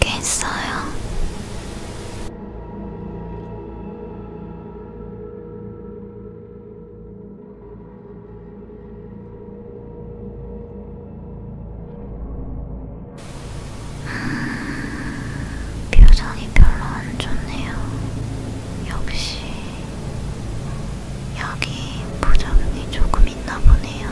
깼어요. 표정이 별로 안 좋네요. 역시 여기 부작용이 조금 있나 보네요.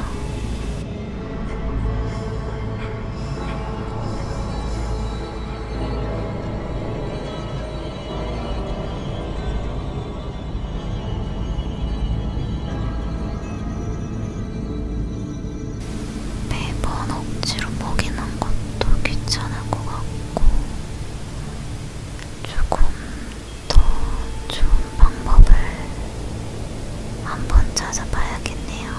매번 억지로 먹이는 것도 귀찮은 괜찮을 것 같고 조금 더 좋은 방법을 한번 찾아봐야겠네요.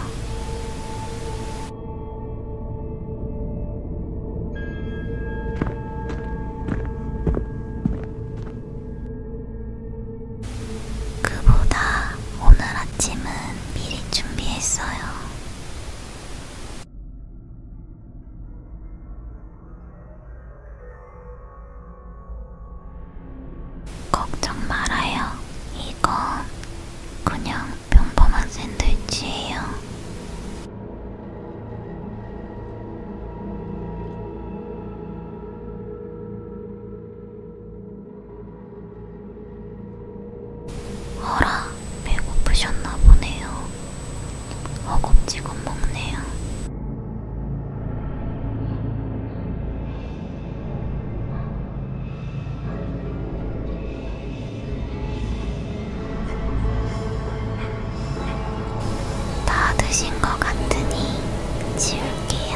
그보다 오늘 아침은 미리 준비했어요. 걱정 말아요. 이건 그냥 평범한 샌드위치예요. 어라, 배고프셨나 보네요. 허겁지겁 먹네요. 다 드신 것 같으니 지울게요.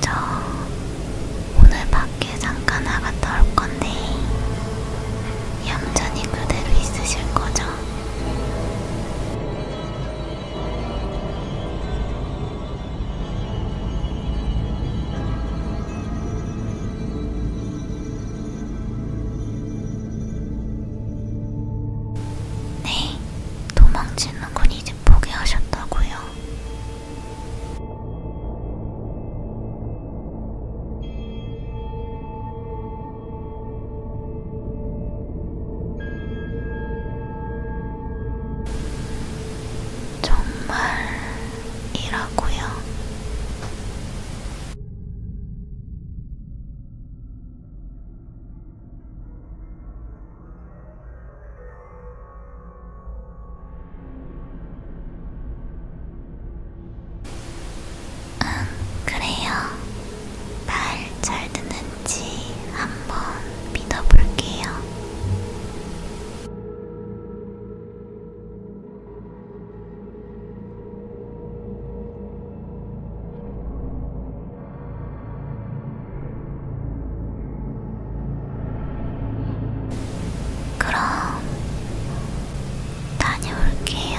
저 오늘 밖에 잠깐 나갔다 올 건데 얌전히 그대로 있으실 거죠? 네, 도망치는 건 이제 포기하셨다고요. 정말이라고요? 음, 그래요. 말 잘 듣는지 한번 믿어볼게요. 그럼 다녀올게요.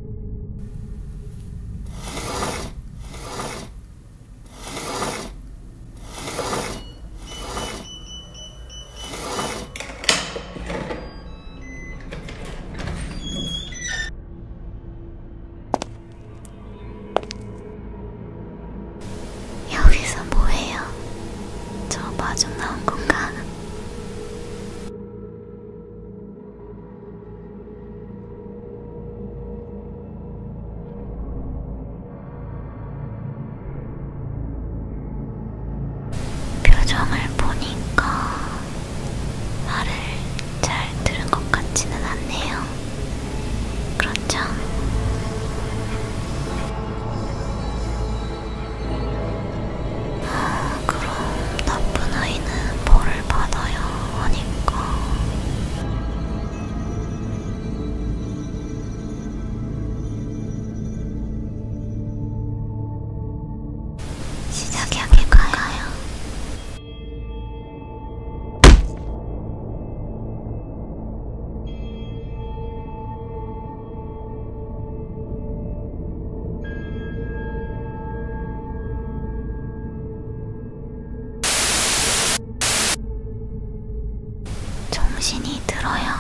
여기서 뭐해요? 저 마중 나온 건가? 표정을 보니까 말을 잘 들은 것 같지는 않네요. 그렇죠? 아, 그럼 나쁜 아이는 벌을 받아야 하니까. 시작하게 가요. 정신이 들어야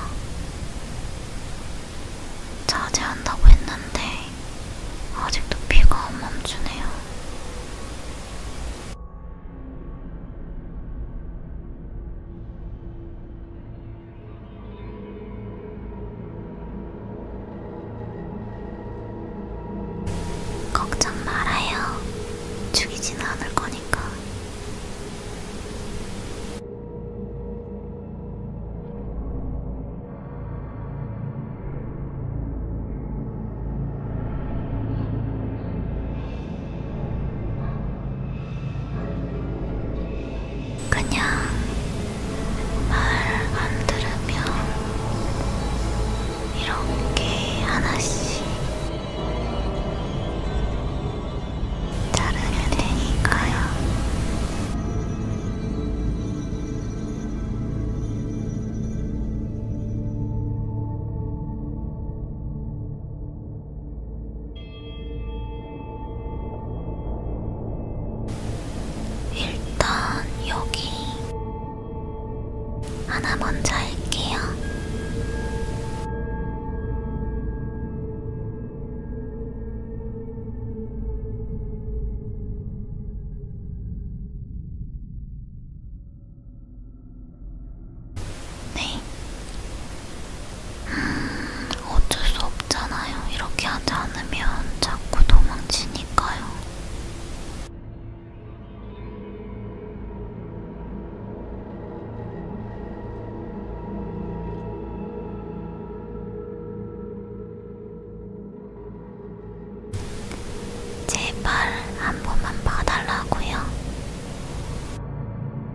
자제한다고 했는데 아직도 피가 안 멈추네요. 걱정 말아요. 죽이지는 않을 거니까. 그냥 말 안 들으면 이렇게 하나씩 자르면 되니까요. 일단 여기 하나 먼저 할게요. 네, 음, 어쩔 수 없잖아요. 이렇게 하지 않으면 자꾸 도망치니까요. 제발 한 번만 봐달라고요.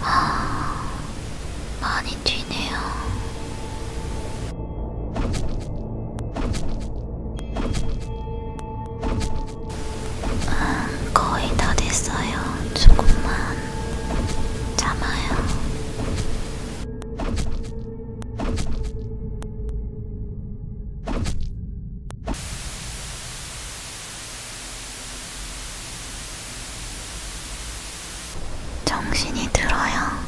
하... 아, 많이 튀네요. 음, 거의 다 됐어요. 조금만 참아요. 정신이 들어요.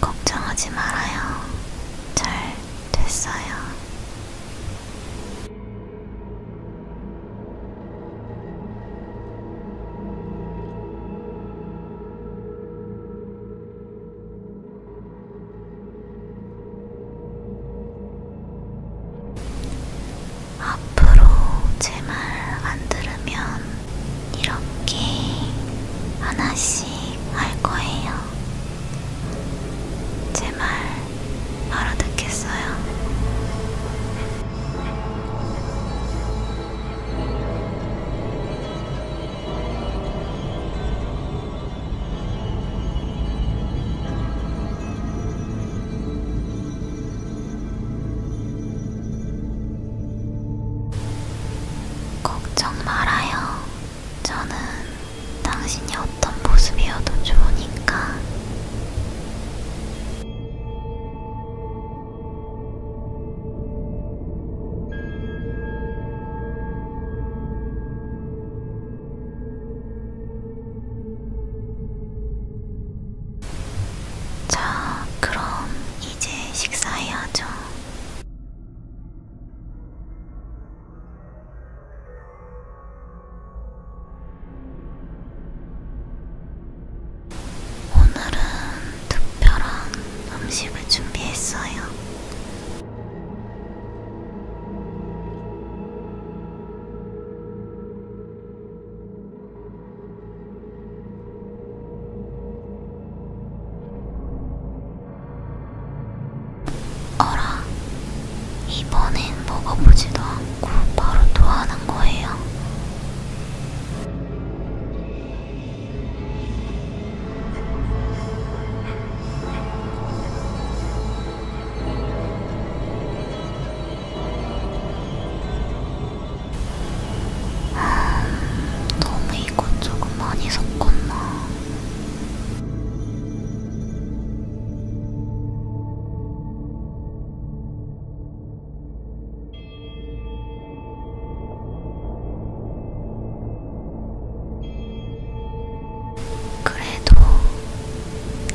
걱정하지 말아요. 잘 됐어요. 앞으로 제 말 안 들으면 이렇게 하나씩 할 거예요. 제말 바로 듣겠어요. 걱정 말아요. 저는 당신이 어떤 모습이어도 좋으니까. 자, 그럼 이제 식사해야죠. 오늘은 특별한 음식을 준비했어요. 어라, 이번엔 먹어보지도 않고 바로 토하는 거예요. 아, 너무 이것저것 많이 섞었나. 그래도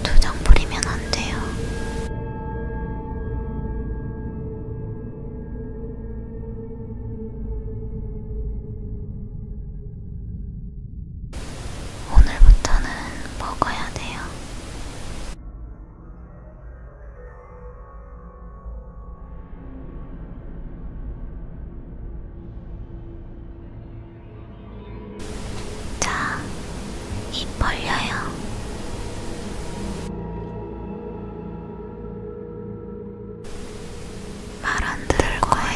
투정 부리면 안 돼요. 오늘부터는 먹어야 돼요. 자, 입 벌려요. 말 안 들을 거예요.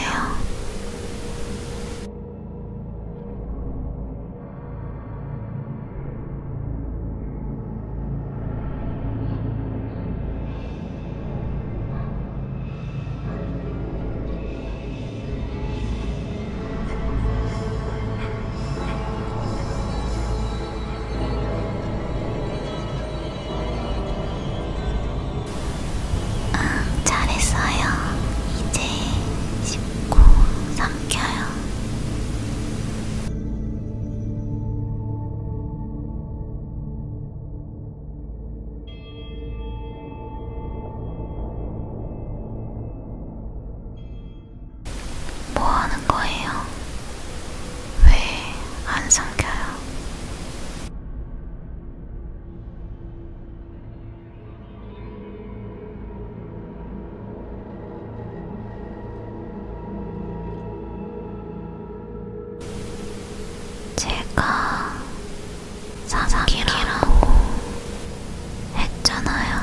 응, 잘했어요. 이제 씹고 삼켜요. 뭐 하는 거예요? 왜 안 삼켜요? 제가 사사키라고 했잖아요.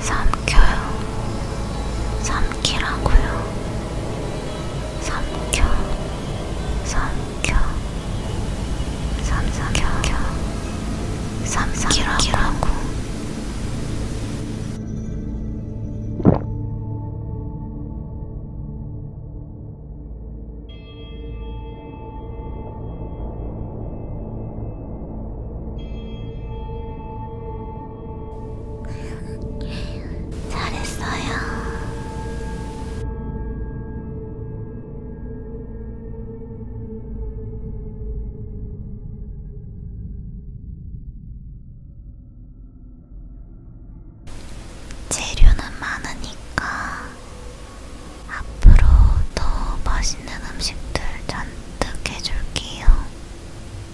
삼켜요. 삼키라고요. 삼켜 삼켜 삼삼켜 삼삼키라고 잘했어요. 재료는 많으니까 앞으로 더 맛있는 음식들 잔뜩 해줄게요.